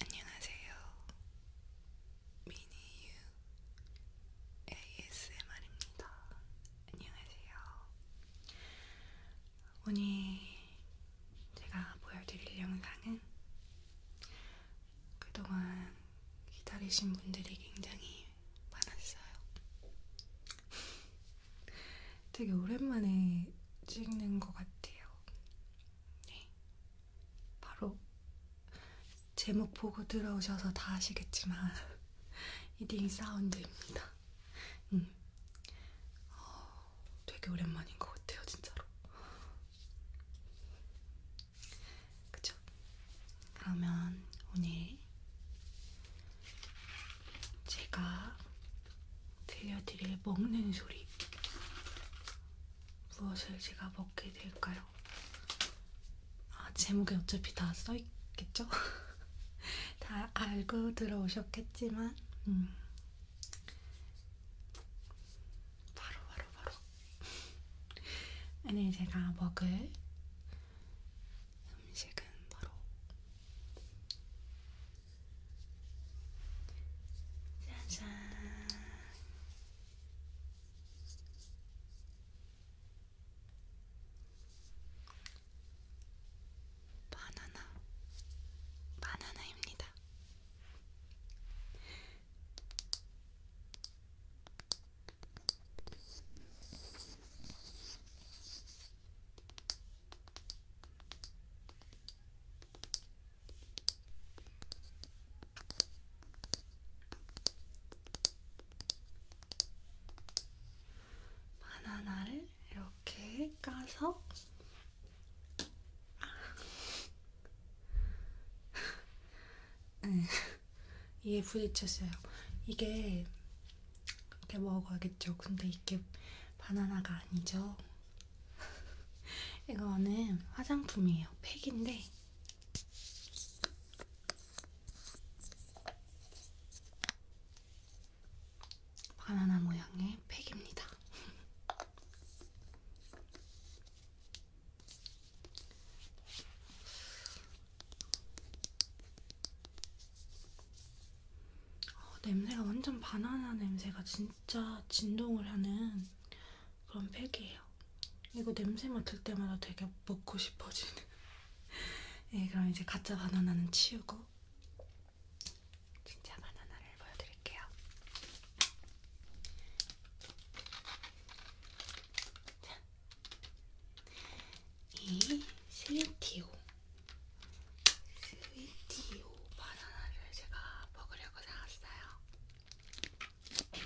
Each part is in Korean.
안녕하세요. 미니유 ASMR입니다. 안녕하세요. 오늘 제가 보여드릴 영상은 그동안 기다리신 분들이 굉장히 많았어요. 되게 오랜만에 찍는 것 같아요. 네. 바로 제목 보고 들어오셔서 다 아시겠지만 이딩 사운드입니다. 음. 어, 되게 오랜만인 것 같아요, 진짜로. 그쵸? 그러면 오늘 제가 들려드릴 먹는 소리. 무엇을 제가 먹게 될까요? 아, 제목에 어차피 다 써있겠죠? 다 알고 들어오셨겠지만, 음. 바로, 바로, 바로. 오늘 제가 먹을 음식은 바로 짜잔. 바나나, 바나나입니다. 바나나를 이렇게 까서 네, 이게 부딪혔어요. 이게 이렇게 먹어야겠죠. 근데 이게 바나나가 아니죠. 이거는 화장품이에요. 팩인데 바나나 모양의 팩입니다. 어, 냄새가 완전 바나나 냄새가 진 진짜 진동을 하는 그런 팩이에요. 이거 냄새 맡을 때마다 되게 먹고 싶어지는. 네, 그럼 이제 가짜 바나나는 치우고 진짜 바나나를 보여드릴게요. 이 실리티오 스위티오 바나나를 제가 먹으려고 사왔어요.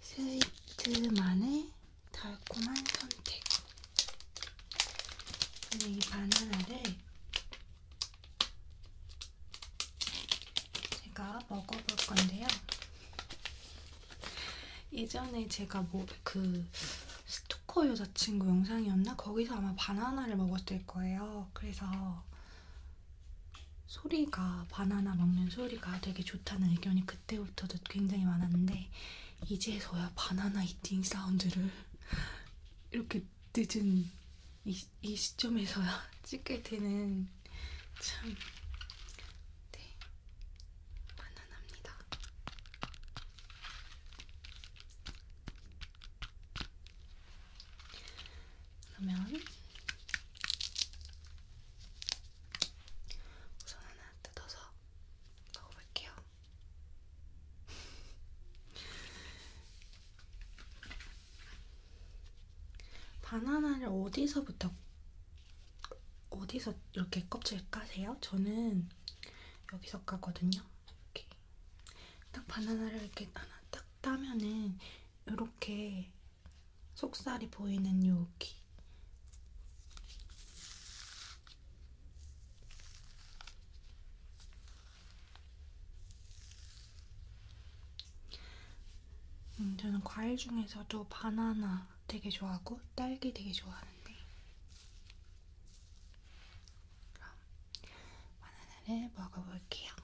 스위트만의 달콤한 선택. 저는 이 바나나를 제가 먹어볼 건데요. 예전에 제가 뭐 그 스토커 여자친구 영상이었나? 거기서 아마 바나나를 먹었을 거예요. 그래서 소리가 바나나 먹는 소리가 되게 좋다는 의견이 그때부터도 굉장히 많았는데 이제서야 바나나 이팅 사운드를 이렇게 늦은 이, 이 시점에서야 찍게 되는 참 네. 바나나입니다. 그러면 우선 하나 뜯어서 먹어볼게요. 바나나를 어디서부터 어디서 이렇게 껍질 까세요? 저는 여기서 까거든요. 이렇게 딱 바나나를 이렇게 하나 아, 딱 따면은 이렇게 속살이 보이는 여기 음, 저는 과일 중에서도 바나나 되게 좋아하고 딸기 되게 좋아하는데 그럼 바나나를 먹어볼게요.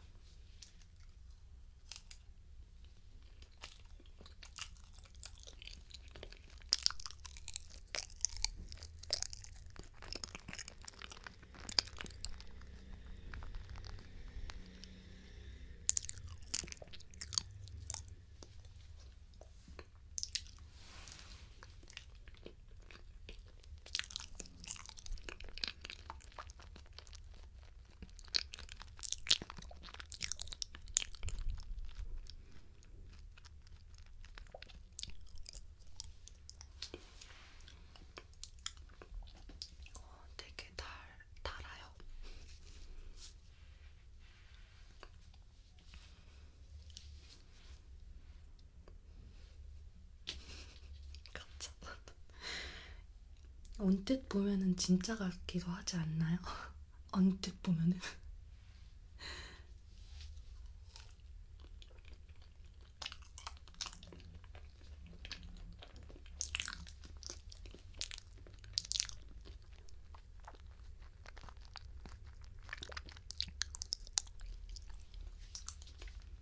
어, 되게 달, 달아요. 깜짝 놀랐다. 언뜻 보면은 진짜 같기도 하지 않나요? 언뜻 보면은.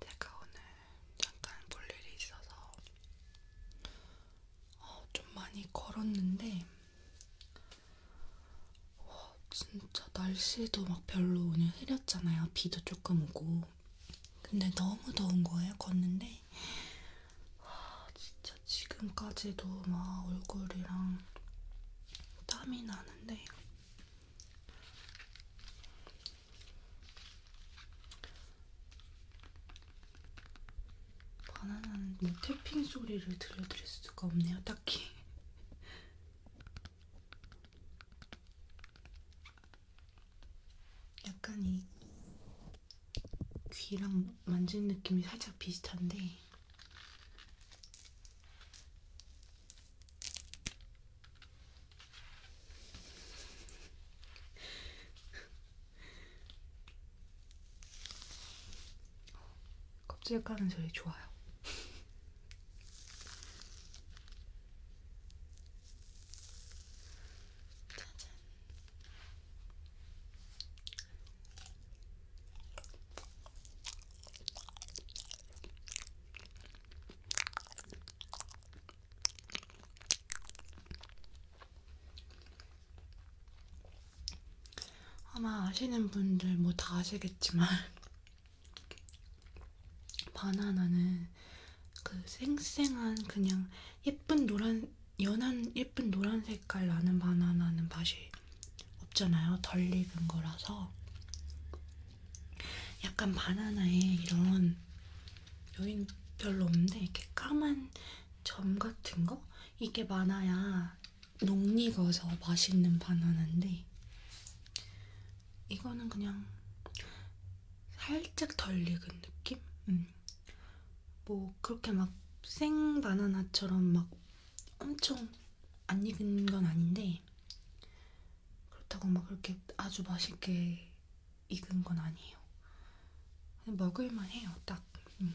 제가 오늘 잠깐 볼 일이 있어서 어, 좀 많이 걸었는데 와, 진짜 날씨도 막 별로 오늘 흐렸잖아요. 비도 조금 오고. 근데 너무 더운 거예요, 걷는데. 와, 진짜 지금까지도 막 얼굴이랑 땀이 나는데. 바나나는 뭐 태핑 소리를 들려드릴 수가 없네요, 딱히. 약간 이 귀랑 만지는 느낌이 살짝 비슷한데 껍질 까는 소리 좋아요. 짜잔. 아마 아시는 분들 뭐 다 아시겠지만 바나나는 그 생생한 그냥 예쁜 노란 연한 예쁜 노란 색깔 나는 바나나는 맛이 없잖아요. 덜 익은 거라서 약간 바나나에 이런 여긴 별로 없는데 이렇게 까만 점 같은 거 이게 많아야 녹익어서 맛있는 바나나인데 이거는 그냥 살짝 덜 익은 느낌? 음. 뭐 그렇게 막 생 바나나처럼 막 엄청 안 익은 건 아닌데 그렇다고 막 그렇게 아주 맛있게 익은 건 아니에요. 먹을만 해요, 딱. 음.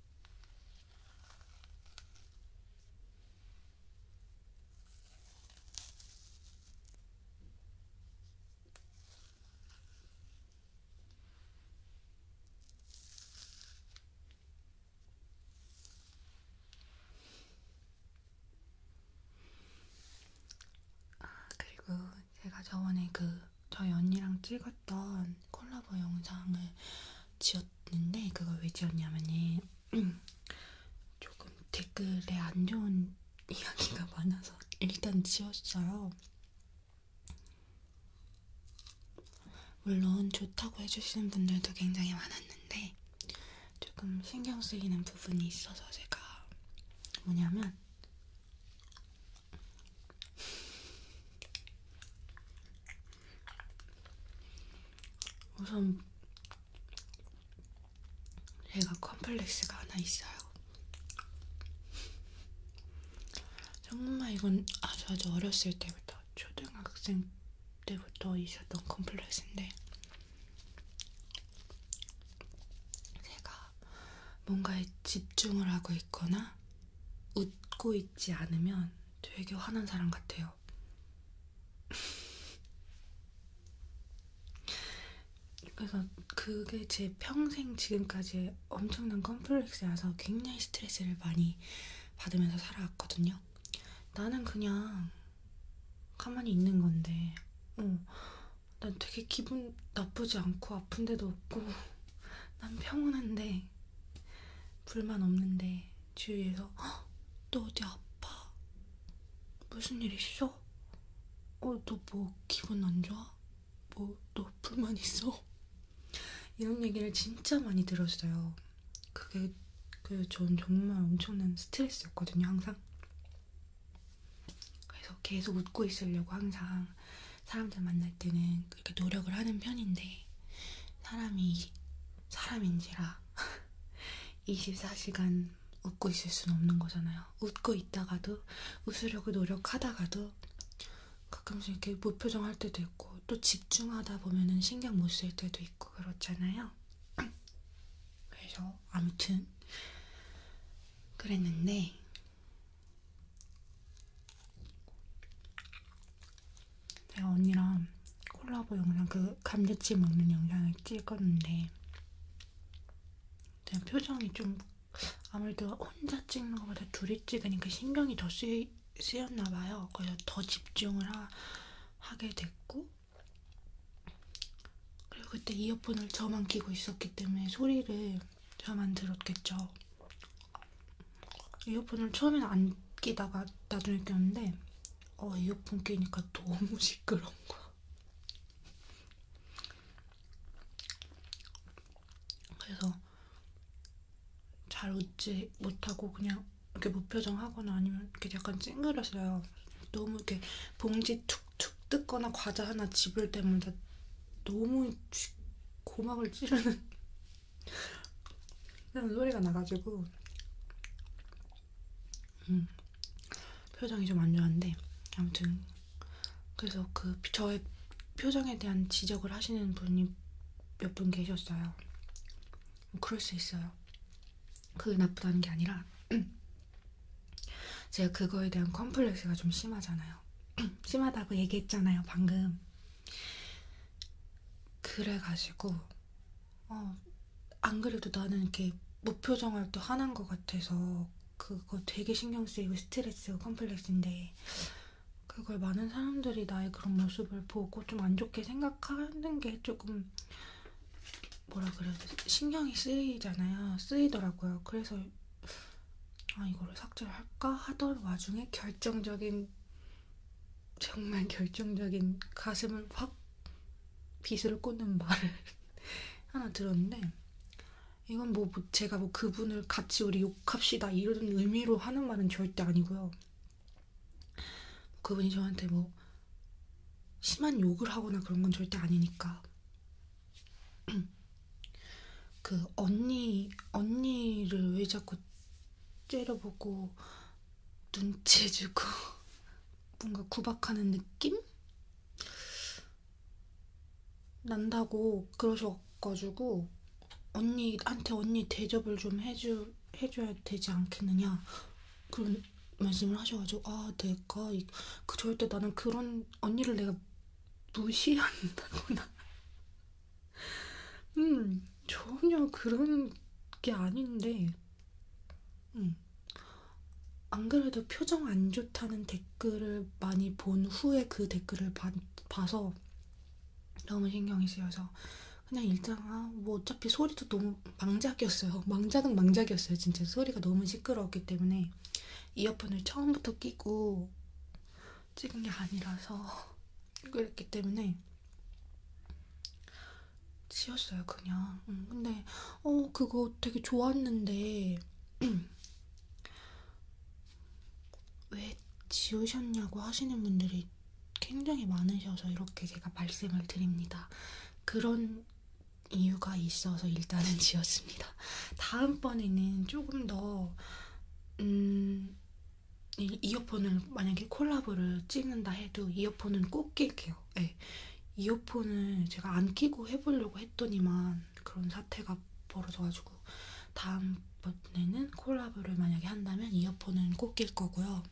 아, 그리고 제가 저번에 그 저희 언니랑 찍었던 콜라보 영상을 지었는데 그걸 왜 지었냐면은 조금 댓글에 안 좋은 이야기가 많아서 일단 지웠어요. 물론 좋다고 해주시는 분들도 굉장히 많았는데 조금 신경 쓰이는 부분이 있어서 제가 뭐냐면 우선 제가 컴플렉스가 하나 있어요. 정말 이건 아주 아주 어렸을 때부터 초등학생 때부터 있었던 컴플렉스인데 제가 뭔가에 집중을 하고 있거나 웃고 있, 있지 않으면 되게 화난 사람 같아요. 그래서 그게 제 평생 지금까지 엄청난 컴플렉스여서 굉장히 스트레스를 많이 받으면서 살아왔거든요. 나는 그냥 가만히 있는 건데, 어, 난 되게 기분 나쁘지 않고 아픈데도 없고, 난 평온한데, 불만 없는데 주위에서 헉, 너 어디 아파? 무슨 일 있어? 어, 너뭐 기분 안 좋아? 뭐너 불만 있어? 이런 얘기를 진짜 많이 들었어요. 그게 그 전 정말 엄청난 스트레스였거든요, 항상. 그래서 계속 웃고 있으려고 항상 사람들 만날 때는 그렇게 노력을 하는 편인데 사람이 사람인지라 24시간 웃고 있을 수는 없는 거잖아요. 웃고 있다가도 웃으려고 노력하다가도 가끔씩 이렇게 무표정 할 때도 있고 또 집중하다 보면은 신경 못 쓸 때도 있고 그렇잖아요. 그래서 아무튼 그랬는데 제가 언니랑 콜라보 영상 그 감자칩 먹는 영상을 찍었는데 제가 표정이 좀 아무래도 혼자 찍는 것보다 둘이 찍으니까 신경이 더 쓰이, 쓰였나 봐요. 그래서 더 집중을 하, 하게 됐고 그리고 그때 이어폰을 저만 끼고 있었기 때문에 소리를 저만 들었겠죠. 이어폰을 처음엔 안 끼다가 나중에 꼈는데 어 이어폰 끼니까 너무 시끄러운 거야. 그래서 잘 웃지 못하고 그냥 이렇게 무표정하거나 아니면 이렇게 약간 찡그러져요. 너무 이렇게 봉지 툭툭 뜯거나 과자 하나 집을 때마다 너무 고막을 찌르는 소리가 나가지고 음, 표정이 좀 안 좋았는데 아무튼 그래서 그 저의 표정에 대한 지적을 하시는 분이 몇 분 계셨어요. 뭐 그럴 수 있어요. 그게 나쁘다는 게 아니라 제가 그거에 대한 컴플렉스가 좀 심하잖아요. 심하다고 얘기했잖아요, 방금. 그래가지고 어, 안 그래도 나는 이렇게 목표 정할 때 화난 것 같아서 그거 되게 신경 쓰이고 스트레스 컴플렉스인데 그걸 많은 사람들이 나의 그런 모습을 보고 좀 안 좋게 생각하는 게 조금 뭐라 그래야 되지? 신경이 쓰이잖아요. 쓰이더라고요. 그래서 아 이거를 삭제를 할까 하던 와중에 결정적인 정말 결정적인 가슴을 확 빗을 꽂는 말을 하나 들었는데 이건 뭐, 뭐 제가 뭐 그분을 같이 우리 욕합시다 이런 의미로 하는 말은 절대 아니고요. 그분이 저한테 뭐 심한 욕을 하거나 그런 건 절대 아니니까. 그 언니 언니를 왜 자꾸 째려보고 눈치주고 뭔가 구박하는 느낌? 난다고 그러셔가지고 언니한테 언니 대접을 좀 해주, 해줘야 되지 않겠느냐 그런 말씀을 하셔가지고 아 내가 그 절대 나는 그런 언니를 내가 무시한다거나 음, 전혀 그런 게 아닌데, 음, 안 그래도 표정 안 좋다는 댓글을 많이 본 후에 그 댓글을 바, 봐서 너무 신경이 쓰여서 그냥 일단 아, 뭐 어차피 소리도 너무 망작이었어요. 망작은 망작이었어요. 진짜 소리가 너무 시끄러웠기 때문에 이어폰을 처음부터 끼고 찍은 게 아니라서 그랬기 때문에 지었어요 그냥 음, 근데 어 그거 되게 좋았는데 왜 지우셨냐고 하시는 분들이 굉장히 많으셔서 이렇게 제가 말씀을 드립니다 그런 이유가 있어서 일단은 지었습니다 다음번에는 조금 더 음, 이어폰을 만약에 콜라보를 찍는다 해도 이어폰은 꼭 낄게요. 네. 이어폰을 제가 안 끼고 해보려고 했더니만 그런 사태가 벌어져가지고 다음번에는 콜라보를 만약에 한다면 이어폰은 꼭 낄 거고요.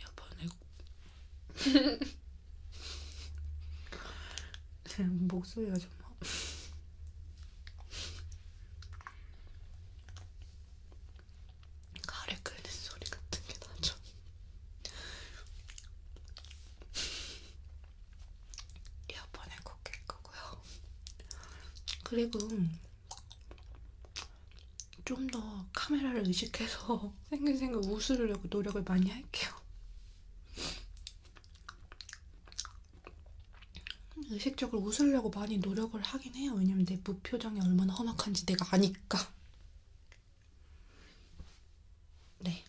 이어폰을 지금 목소리가 좀 가래 끄는 소리 같은 게 나죠. 이어폰에 꽂힐 거고요. 그리고 좀 더 카메라를 의식해서 생긴 생각 웃으려고 노력을 많이 할게요. 의식적으로 웃으려고 많이 노력을 하긴 해요. 왜냐면 내 무표정이 얼마나 험악한지 내가 아니까. 네.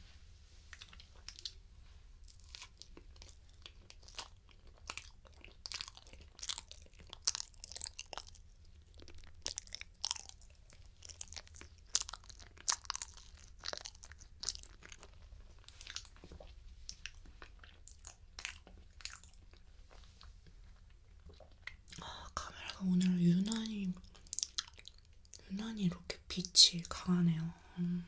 아, 카메라가 오늘 유난히 유난히 이렇게 빛이 강하네요. 음.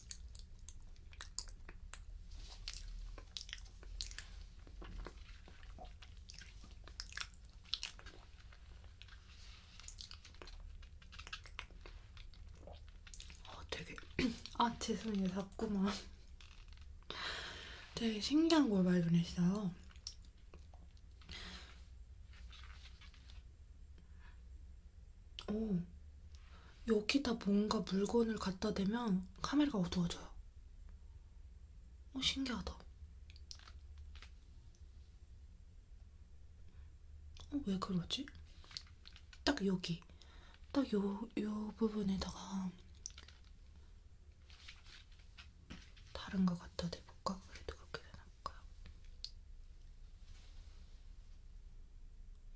어, 되게 아제 손이 자꾸만 되게 신기한 걸 많이 보내시어요 오, 어, 여기다 뭔가 물건을 갖다 대면 카메라가 어두워져요. 오, 어, 신기하다. 어, 왜 그러지? 딱 여기. 딱 요, 요 부분에다가 다른 거 갖다 대볼까? 그래도 그렇게 되나볼까요?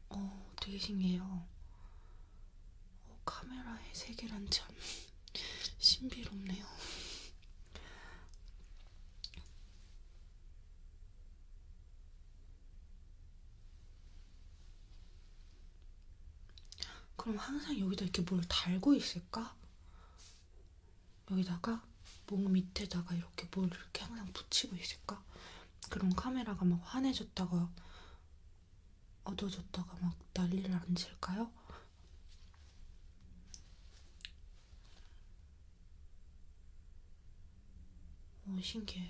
어, 되게 신기해요. 어, 카메라의 세계란 참 신비롭네요. 그럼 항상 여기다 이렇게 뭘 달고 있을까? 여기다가 목 밑에다가 이렇게 뭘 이렇게 항상 붙이고 있을까? 그런 카메라가 막 환해졌다가 어두워졌다가 막 난리를 안 칠까요? 오, 신기해요.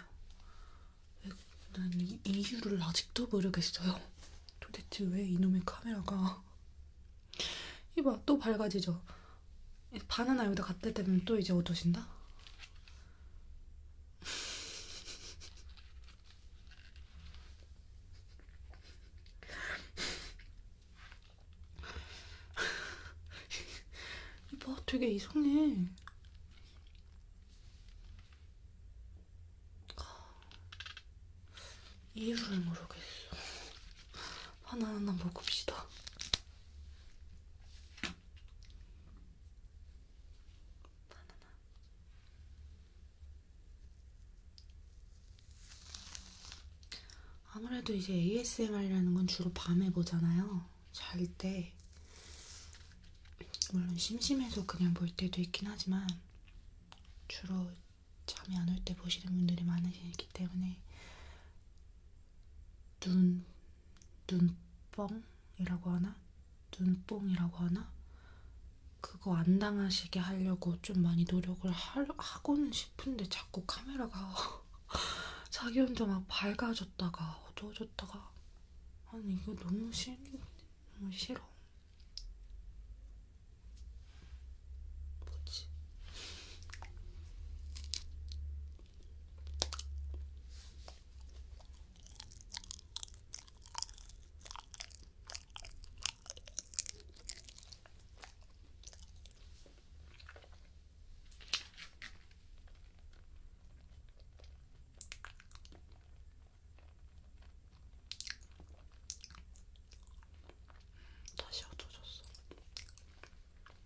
왜, 난 이, 이유를 아직도 모르겠어요. 도대체 왜 이놈의 카메라가. 이봐, 또 밝아지죠? 바나나 여기다 갖다 대면 또 이제 어두워진다? 이봐 되게 이상해 이유를 모르겠어 하나하나 먹읍시다 바나나 아무래도 이제 ASMR이라는 건 주로 밤에 보잖아요. 잘 때. 물론 심심해서 그냥 볼 때도 있긴 하지만 주로 잠이 안 올 때 보시는 분들이 많으시기 때문에 눈, 눈뻥이라고 하나? 눈뽕이라고 하나? 그거 안 당하시게 하려고 좀 많이 노력을 하, 하고는 싶은데 자꾸 카메라가 자기 혼자 막 밝아졌다가 어두워졌다가 아니 이거 너무 싫 너무 싫어 뭐지 다시 얻어졌어.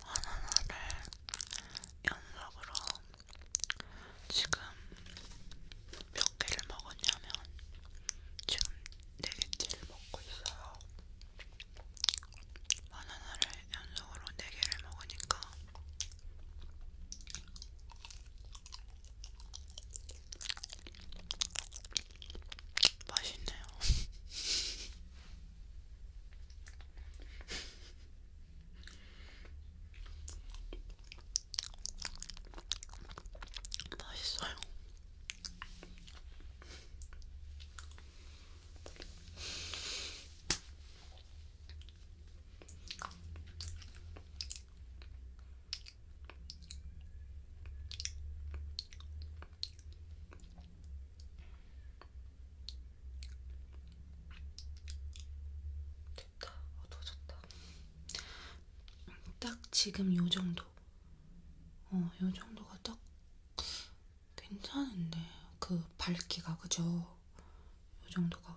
바나나를 연속으로 지금 몇 개를 먹었냐면 지금 4개째를 먹고 있어요. 바나나를 연속으로 4개를 먹으니까 맛있네요. 맛있어요. 됐다. 어두워졌다. 딱 지금 요 정도. 어, 요 정도가 딱 괜찮은데. 그 밝기가, 그죠? 이 정도가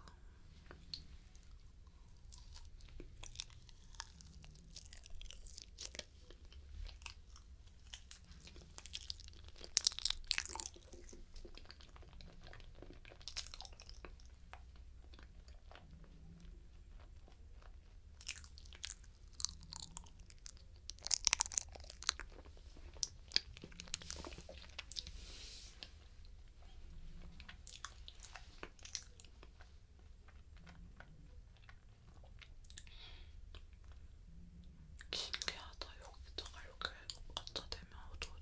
신기하다. 여기다가 이렇게 갖다 대면 어쩌죠?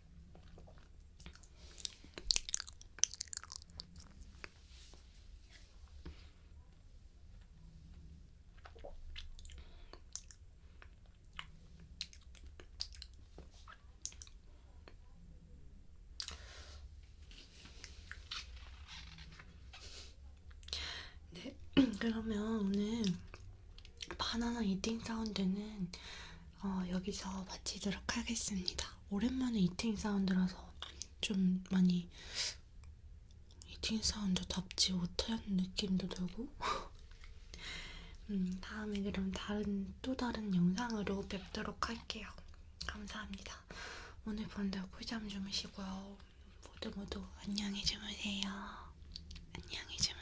네, 그러면 오늘 바나나 이팅 사운드는 어, 여기서 마치도록 하겠습니다. 오랜만에 이팅 사운드라서 좀 많이 이팅 사운드답지 못한 느낌도 들고 음, 다음에 그럼 다른 또 다른 영상으로 뵙도록 할게요. 감사합니다. 오늘 본다고 꿀잠 주무시고요. 모두 모두 안녕히 주무세요. 안녕히 주무세요.